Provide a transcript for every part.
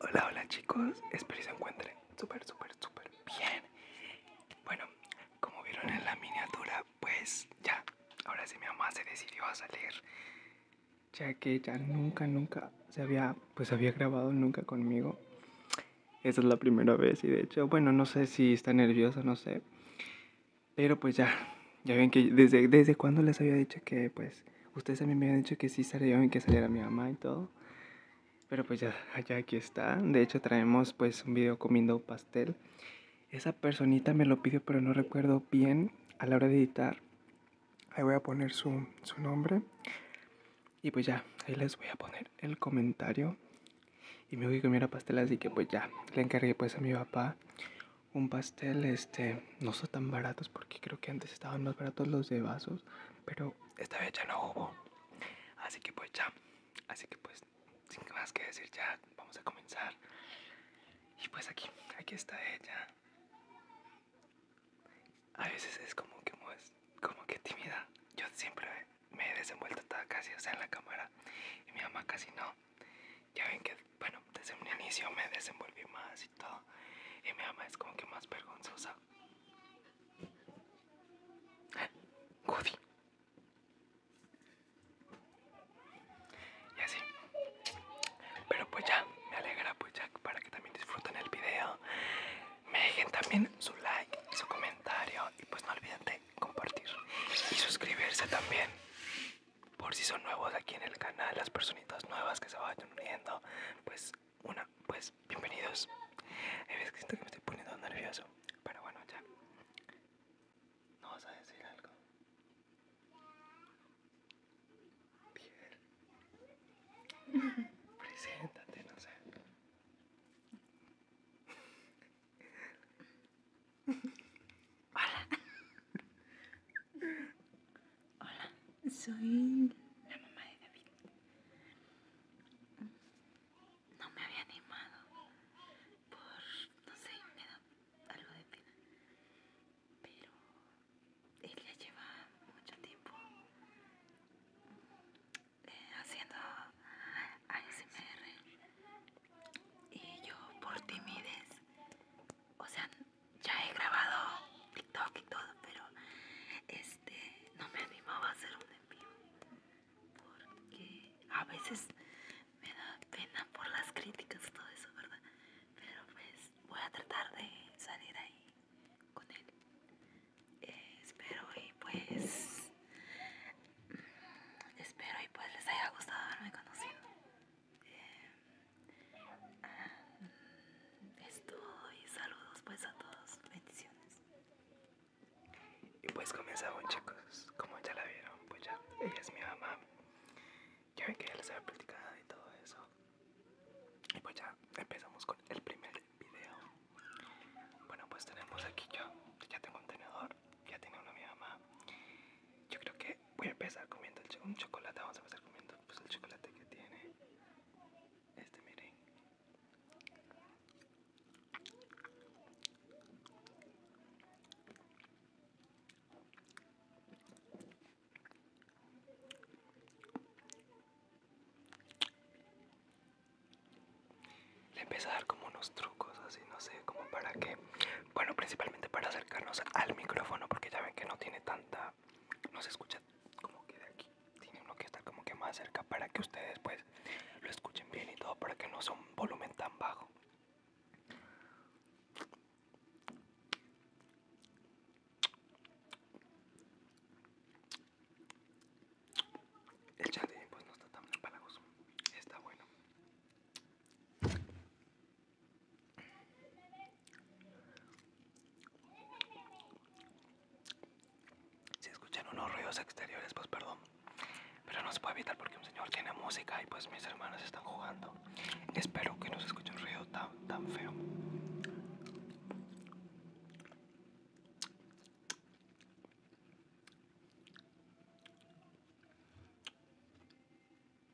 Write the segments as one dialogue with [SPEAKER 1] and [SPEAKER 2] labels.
[SPEAKER 1] Hola, hola chicos, espero que se encuentren súper, súper, súper bien. Bueno, como vieron en la miniatura, pues ya, ahora sí mi mamá se decidió
[SPEAKER 2] a salir. Ya que ya nunca, nunca se había, pues había grabado nunca conmigo. Esa es la primera vez y de hecho, bueno, no sé si está nerviosa, no sé. Pero pues ya, ya ven que desde, desde cuando les había dicho que pues pues, ustedes. también me habían dicho que sí salieron, que saliera mi mamá y todo. Pero pues ya, allá aquí está. De hecho traemos pues un video comiendo pastel. Esa personita me lo pidió pero no recuerdo bien a la hora de editar. Ahí voy a poner su, nombre. Y pues ya, ahí les voy a poner el comentario. Y me voy a comer pastel, así que pues ya, le encargué pues a mi papá un pastel, este, no son tan baratos porque creo que antes estaban más baratos los de vasos pero esta vez ya
[SPEAKER 1] no hubo. Así que pues ya, así que pues sin más que decir ya vamos a comenzar. Y pues aquí, aquí está ella. A veces es como que como que tímida. Yo siempre me he desenvuelto casi, o sea, en la cámara. Y mi mamá casi no. Ya ven que, bueno, desde un inicio me desenvolví más y todo. Y mi mamá es como que más vergonzosa. Goody. Y así. Pero pues ya, me alegra pues ya para que también disfruten el video. Me dejen también su like, su comentario y pues no olviden de compartir. Y suscribirse también. Por si son nuevos aquí en el canal, las personitas nuevas que se vayan uniendo, pues una, pues bienvenidos. Es que siento que me estoy poniendo nervioso, pero bueno, ya. ¿No vas a decir algo? ¿Pierre? Preséntate, no sé.
[SPEAKER 3] Hola. Hola, soy la mamá de David. No me había animado por, no sé, me da algo de pena. Pero él ya lleva mucho tiempo eh, haciendo ASMR y yo por timidez, o sea, ya he grabado TikTok y todo, pero este no me animaba a hacer un en porque a veces me da pena por las críticas y todo eso, ¿verdad? Pero pues voy a tratar de salir ahí con él. espero y pues espero y pues les haya gustado haberme conocido. Em, Ah, y saludos pues a todos, bendiciones.
[SPEAKER 1] Y pues comenzamos chicos, como ya la vieron, pues ya, ella es mi mamá. Yo me quería les había platicado y todo eso. Y pues ya empezamos con el primer video. Bueno, pues tenemos aquí yo, ya tengo un tenedor, ya tiene uno mi mamá. Yo creo que voy a empezar comiendo un chocolate, vamos a empezar comiendo pues, el chocolate que tiene este miren le empecé a dar como unos trucos así no sé como para que bueno principalmente para acercarnos al micrófono porque ya ven que no tiene tanta no se escucha como que de aquí. Tiene uno que estar como que más cerca para que ustedes pues lo escuchen bien y todo para que no sea un volumen tan bajo. El chat pues no está tan empalagoso, está bueno. Si escuchan unos ruidos exteriores, pues perdón. Pero no se puede evitar porque un señor tiene música y pues mis hermanas están jugando. Espero que no se escuche un ruido tan, tan feo.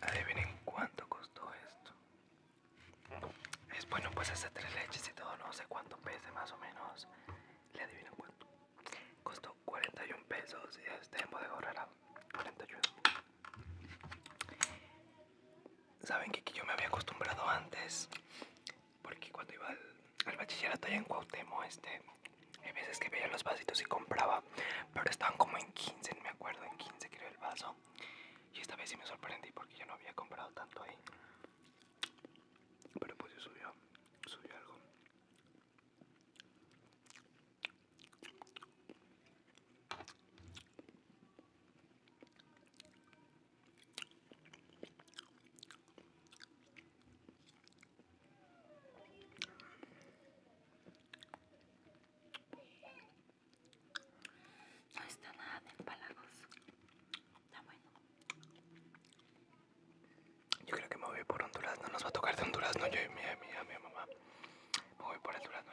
[SPEAKER 1] Adivinen cuánto costó esto. Es bueno, pues hacer tres leches y todo, no sé cuánto pese más o menos. Le adivinen cuánto. Costó 41 pesos y este en de Horrera 41. Saben que, yo me había acostumbrado antes, porque cuando iba al, bachillerato allá en Cuauhtémoc, este, hay veces que veía los vasitos y compraba, pero estaban como en 15, me acuerdo, en 15 creo el vaso. Y esta vez sí me sorprendí porque yo no había comprado tanto ahí. Pero pues yo subió, subió algo. No está nada de palagos, Está bueno. Yo creo que me voy por Honduras, no Nos va a tocar de Honduras No yo y mi, mi, mi mamá. Me voy por el durazno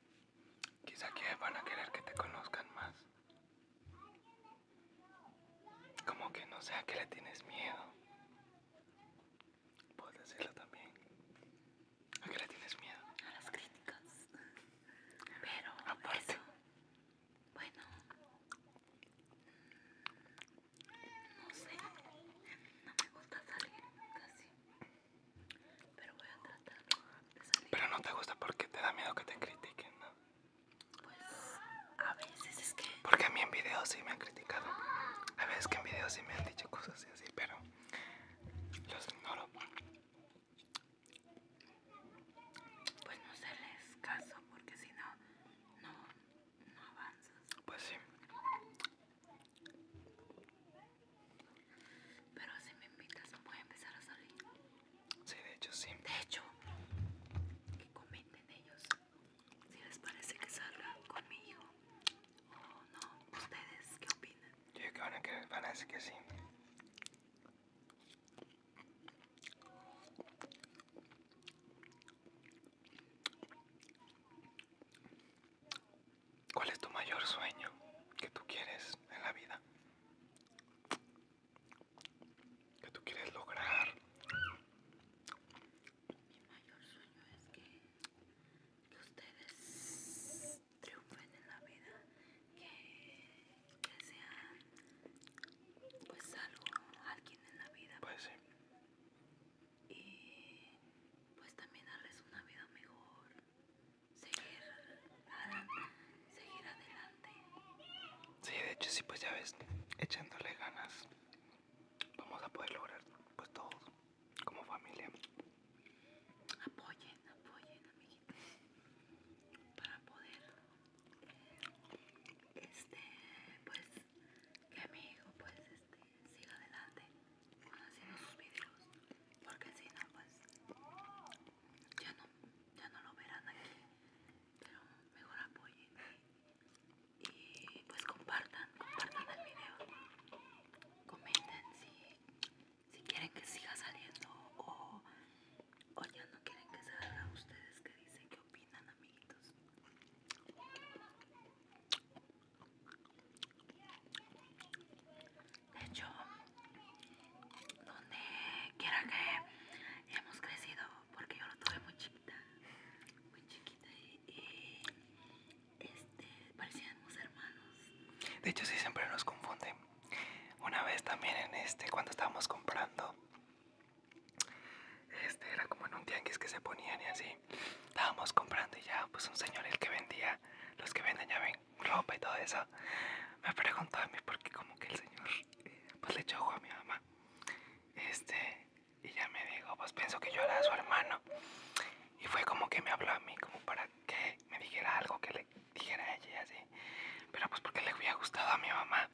[SPEAKER 1] Quizá que van a querer que te conozcan más. Como que no a que le tienes miedo.
[SPEAKER 3] Puedes decirlo también. ¿A qué le tienes miedo? A las críticas. Pero Bueno. No sé.
[SPEAKER 1] No me gusta salir casi. Pero voy a tratar Pero no te gusta porque te da miedo que te critiquen, ¿no? Pues a veces es que. Porque a mí en videos sí me han criticado. A veces que en videos sí me han dicho cosas así, pero los ignoro. Pues no se les caso porque si no,
[SPEAKER 3] no avanzas. Pues sí. Pero si me invitas, a empezar a salir. Sí, de hecho, sí. De hecho, que comenten ellos
[SPEAKER 1] si les parece que salga conmigo o no. ¿Ustedes qué opinan? Yo creo que van a, que, decir que sí. ¿Cuál es tu mayor sueño que tú quieres en la vida? Que tú quieres lograr. Mi
[SPEAKER 3] mayor sueño es que, ustedes triunfen en la vida, que sean pues algo, alguien en la vida. Pues sí. Y pues también darles una vida mejor
[SPEAKER 1] seguir, seguir adelante. Sí, de hecho sí, pues ya ves, echándole ganas vamos a poder lograr pues todos como familia. Apoyen, apoyen, amiguitos,
[SPEAKER 3] para poder este pues que amigo pues este siga adelante haciendo sus videos porque si no pues ya no ya no lo verán aquí pero mejor apoyen y, pues compartan compartan el video comenten si, si quieren que siga saliendo o, o ya no quieren que salga ustedes que dicen que opinan amiguitos de
[SPEAKER 1] hecho, donde quiera que hemos crecido, porque yo lo tuve muy chiquita, muy chiquita y, este, parecíamos hermanos. De hecho, sí, siempre nos confunden. Una vez también en este, cuando estábamos comprando, este era como en un tianguis que se ponían y así. Estábamos comprando y ya, pues un señor el que vendía, los que venden ya ven ropa y todo eso, me preguntó a mí porque como que el señor eh, pues le echó a mi mamá. Este, y ya me dijo, pues pienso que yo era su hermano. Y fue como que me habló a mí como para que me dijera algo que le dijera a ella así. Pero pues porque le había gustado a mi mamá.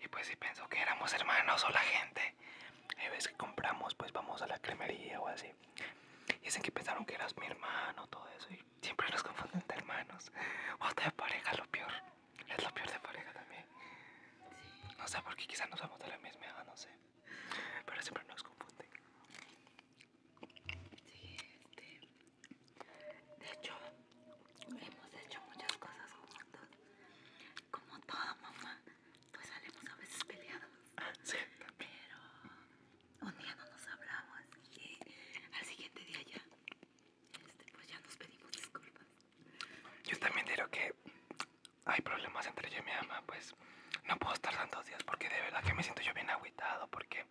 [SPEAKER 1] Y pues si pensó que éramos hermanos o la gente. a veces que compramos, pues vamos a la cremería o así dicen que pensaron que eras mi hermano, todo eso. Y siempre nos confunden de hermanos. O hasta de pareja, lo peor. Es lo peor de pareja también. No sé, por qué quizás nos somos de la misma edad, no sé. Pero siempre nos confunden. Sí, este, De hecho,
[SPEAKER 3] hemos hecho muchas cosas juntos. Como toda mamá, pues salimos a veces peleados. Ah, sí, pero un día no nos hablamos y al siguiente día ya, este, pues ya nos
[SPEAKER 1] pedimos disculpas. Yo también diré que hay problemas entre yo y mi ama, pues no puedo estar tantos días porque de verdad que me siento yo bien agüitado porque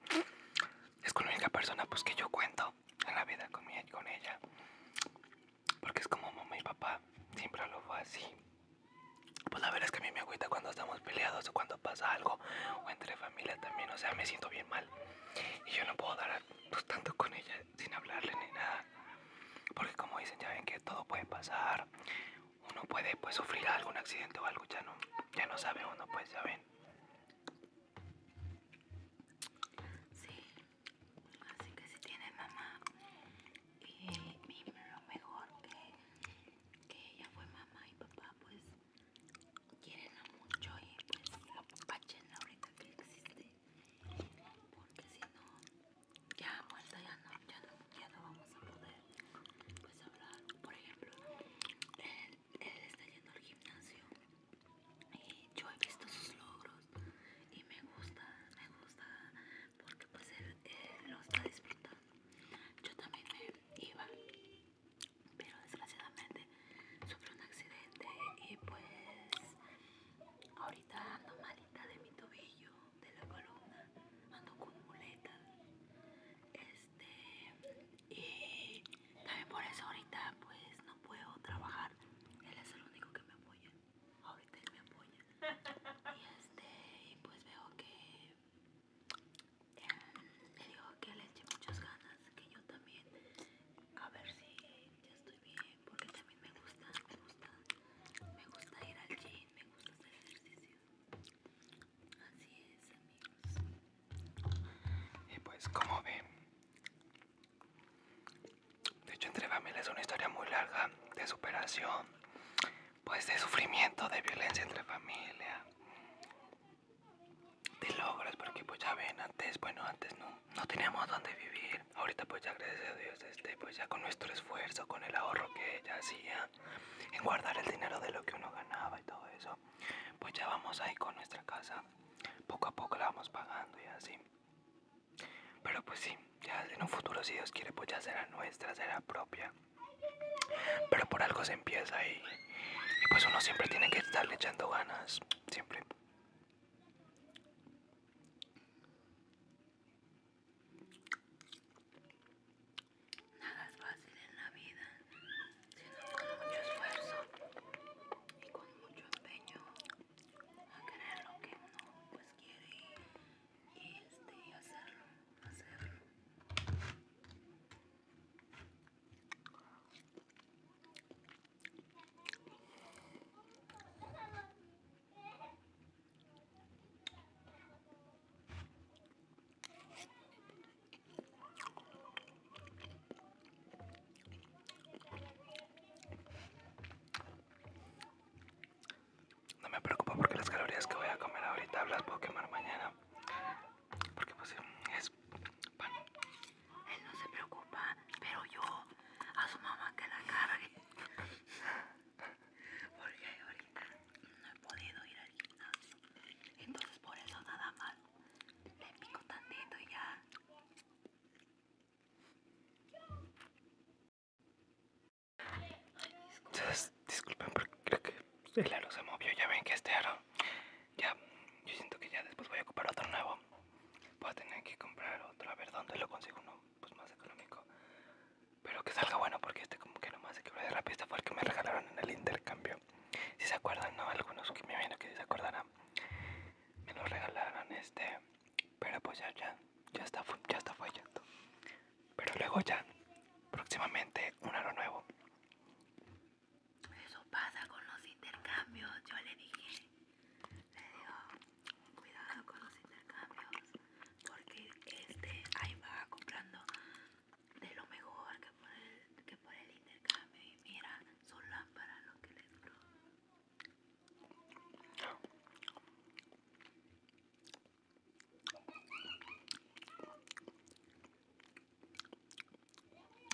[SPEAKER 1] es con la única persona pues que yo cuento en la vida con, mi, con ella. Porque es como mamá y papá, siempre lo fue así pues la verdad es que a mí me agüita cuando estamos peleados o cuando pasa algo o entre familia también, o sea, me siento bien mal. Y yo no puedo dar pues, tanto con ella sin hablarle ni nada. Porque como dicen, ya ven que todo puede pasar. Uno puede pues, sufrir algún accidente o algo, ya no, ya no sabe uno, pues ya ven. Sí, así que si tiene mamá y mejor que
[SPEAKER 3] que ella fue mamá y papá, pues quieren mucho y pues apáchenla ahorita que existe, porque si no, ya muerta ya no, ya no, ya no vamos a poder pues hablar. Por ejemplo, él, está yendo al gimnasio y yo he visto sus logros y me gusta, me gusta porque pues él, lo está disfrutando. Yo también me iba pero desgraciadamente sufrí un accidente y pues ahorita ando malita de mi tobillo de la columna ando con muletas este y también por eso ahorita pues no puedo trabajar él es el único que me apoya ahorita él me apoya y este y pues veo que le dijo que le eché muchas ganas, que yo también, a ver si ya estoy bien, porque también me gusta, me gusta,
[SPEAKER 1] me gusta ir al gym, me gusta hacer ejercicio. Así es, amigos. Y pues, como ven, de hecho, entre familia es una historia muy larga de superación, pues de sufrimiento, de violencia entre familia, de logros, porque pues ya ven, antes, bueno, antes no, no teníamos donde vivir. Ahorita pues ya gracias a Dios, este, pues ya con nuestro esfuerzo, con el ahorro que ella hacía, en guardar el dinero de lo que uno ganaba y todo eso, pues ya vamos ahí con nuestra casa. Poco a poco la vamos pagando y así. Pero pues sí, ya en un futuro si Dios quiere pues ya será nuestra, será propia. Pero por algo se empieza y, y pues uno siempre tiene que estarle echando ganas, siempre. Nada es fácil en la vida, sino con mucho esfuerzo y con mucho empeño a querer lo que uno pues, quiere este, hacerlo, hacerlo.
[SPEAKER 3] No me preocupo porque las calorías que voy a comer ahorita las puedo quemar mañana. Porque pues es bueno Él no se preocupa, pero yo a su mamá que la cargue. Porque ahorita no he podido ir al gimnasio. Entonces por eso nada más le pico tantito y ya
[SPEAKER 1] disculpen, porque creo que el aro se movió. Ya ven que este aro, ya, yo siento que ya después voy a comprar otro nuevo. Voy a tener que comprar otro, a ver dónde lo consigo uno pues más económico. Pero que salga bueno, porque este como que nomás se quebró de la pista fue el que me regalaron en el intercambio. Si se acuerdan, ¿no? Algunos que me vieron que se acordarán. Me lo regalaron este, pero pues ya, ya, ya está, ya está fallando. Pero luego ya, próximamente, un aro nuevo.
[SPEAKER 3] Eso pasa con los intercambios, yo le dije. Le digo, cuidado con los intercambios, porque este ahí va comprando de lo mejor que por el, intercambio. Y mira, son
[SPEAKER 1] lámparas lo que le duro.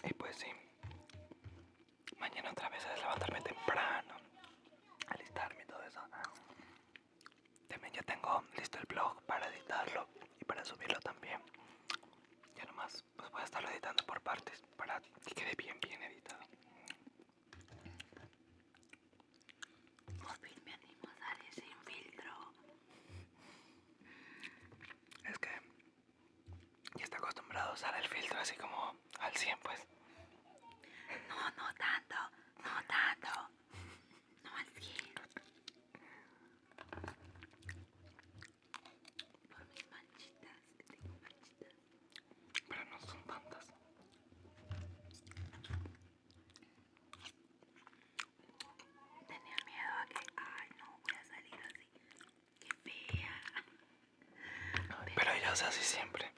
[SPEAKER 1] Y pues sí, mañana otra vez es levantarme temprano, alistarme y todo eso. También ya tengo listo el blog para editarlo y para subirlo también. Ya nomás pues voy a estarlo editando por partes para que quede bien, bien editado. Por fin me animo a usar sin filtro. Es que ya está acostumbrado a usar el filtro así como
[SPEAKER 3] al 100, pues. No, no tanto, no tanto. No al 100. Por mis manchitas, que tengo manchitas. Pero no son tantas. Tenía miedo a que, ay no, voy a salir así. Qué fea.
[SPEAKER 1] Pero, ya ella es así siempre.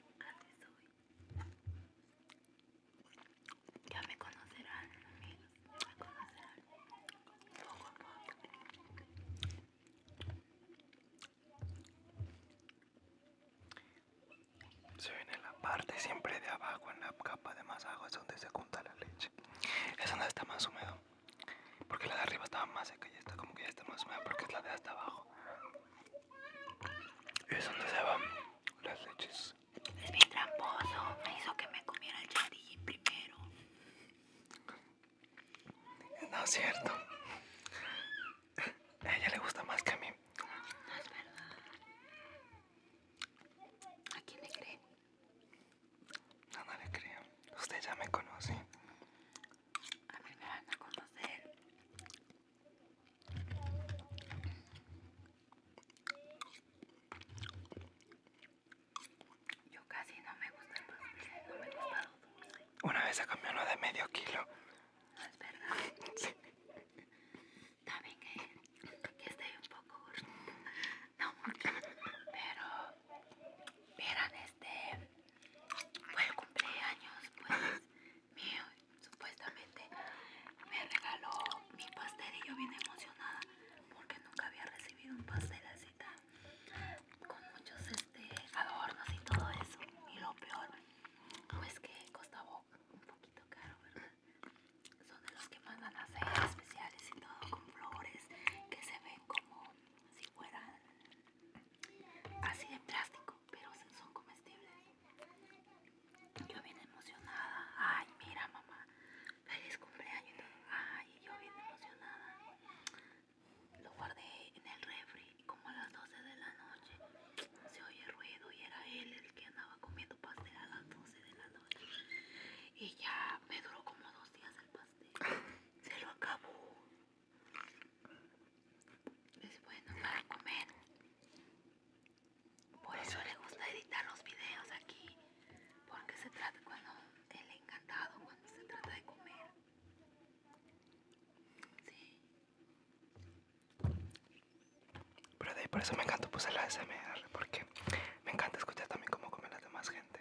[SPEAKER 1] Ya me conocerán, amigos. Me conocerán. Poco a poco. Se viene la parte siempre de abajo, en la capa de más agua, es donde se junta la leche. Es donde está más húmedo. Porque la de arriba estaba más seca y esta como que ya está más húmeda porque es la de hasta abajo. Es donde se van las leches. Es bien tramposo, me hizo que me comiera el chantilly primero. No es cierto. A ella le gusta más que a mí. No es verdad. ¿A quién le cree? No, no le creo. Usted ya me conoce. A mí me van a conocer. Yo casi no me gusta el dulce, no me gusta Una vez se comió uno de medio kilo. es verdad. Sí también
[SPEAKER 3] eh, que, estoy un poco no mucho, pero vieran este, fue el cumpleaños pues mío, supuestamente me regaló mi pastel y yo bien emocionada porque nunca había recibido un pastel así tan, con muchos este, adornos y todo eso, y lo peor pues que costaba un poquito caro, ¿verdad? son de los que mandan a hacer especiales y todo con flores que se ven como si fueran así de plástico pero son comestibles yo bien emocionada ay mira mamá feliz cumpleaños ay yo bien emocionada lo guardé en el refri como a las 12 de la noche se oye ruido y era él el que andaba comiendo pastel a las 12 de la noche. Y ya me duró como dos días el pastel. Se lo acabó. Es bueno para comer. Por eso le gusta editar los videos aquí. Porque se trata cuando él encantado, cuando se trata de comer.
[SPEAKER 1] Pero de ahí por eso me encanta puse la SMR, porque me encanta escuchar también cómo comen las demás gente.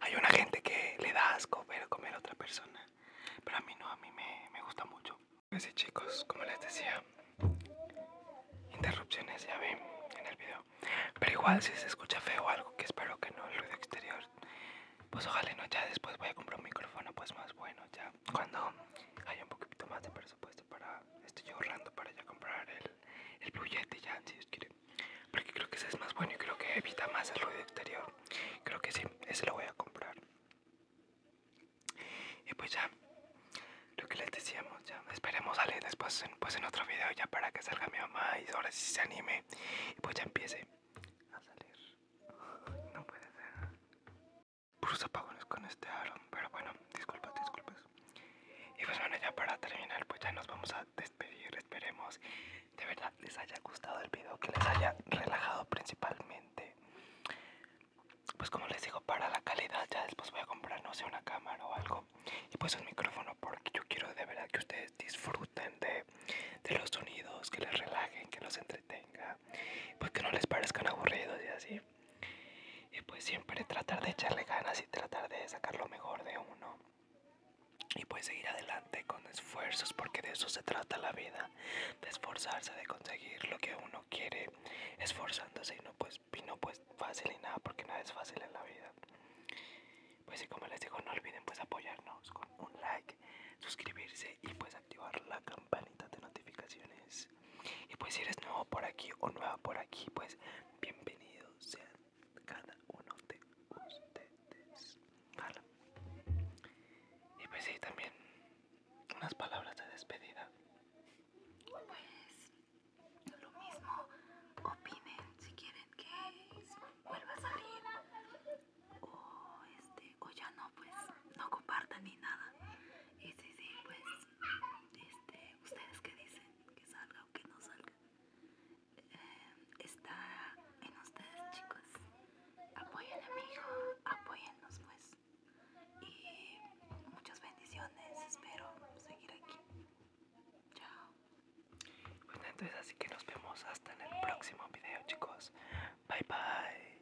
[SPEAKER 1] Hay una gente que le da asco ver comer a otra persona, pero a mí no, a mí me, gusta mucho. Así pues chicos, como les decía, interrupciones ya vi en el video, pero igual si se escucha feo algo, que espero que no, el ruido exterior, pues ojalá no, ya después voy a comprar un micrófono pues más bueno, ya cuando haya un poquito más de presupuesto para estoy ahorrando para ya comprar el, el ya, si Porque creo que ese es más bueno y creo que evita más el ruido exterior. Creo que sí, ese lo voy a comprar. Y pues ya, lo que les decíamos ya. Esperemos salir después pues en otro video ya para que salga mi mamá y ahora sí se anime. Y pues ya empiece a salir. No puede ser puros apagones con este aro. Pero bueno, disculpas, disculpas. Y pues bueno, ya para terminar, pues ya nos vamos a despedir. Esperemos de verdad les haya gustado el video, que les haya relajado principalmente. Pues como les digo, para la calidad ya después voy a comprar, no sé, una cámara o algo. Y pues un micrófono porque yo quiero de verdad que ustedes disfruten de, de los sonidos, que les relajen, que los entretenga pues que no les parezcan aburridos y así y pues siempre tratar de echarle ganas y tratar de sacar lo mejor de uno y pues seguir adelante con esfuerzos porque de eso se trata la vida de esforzarse de conseguir lo que uno quiere esforzándose y no pues y no pues fácil y nada porque nada es fácil en la vida pues y como les digo no olviden pues apoyarnos con un like suscribirse y pues activar la campanita de notificaciones y pues si eres nuevo por aquí o nueva por aquí, pues bienvenidos sean cada uno de ustedes. Y pues sí, también unas palabras de despedida.
[SPEAKER 3] Pues lo mismo, opinen si quieren que vuelva a salir. O este, o ya no, pues no compartan ni nada. Y sí, sí, pues este, ustedes que dicen que salga o que no salga, em, está en ustedes chicos, apoyen a mi hijo, pues, y muchas bendiciones, espero seguir aquí,
[SPEAKER 1] chao. Bueno entonces así que nos vemos hasta en el próximo video chicos, bye bye.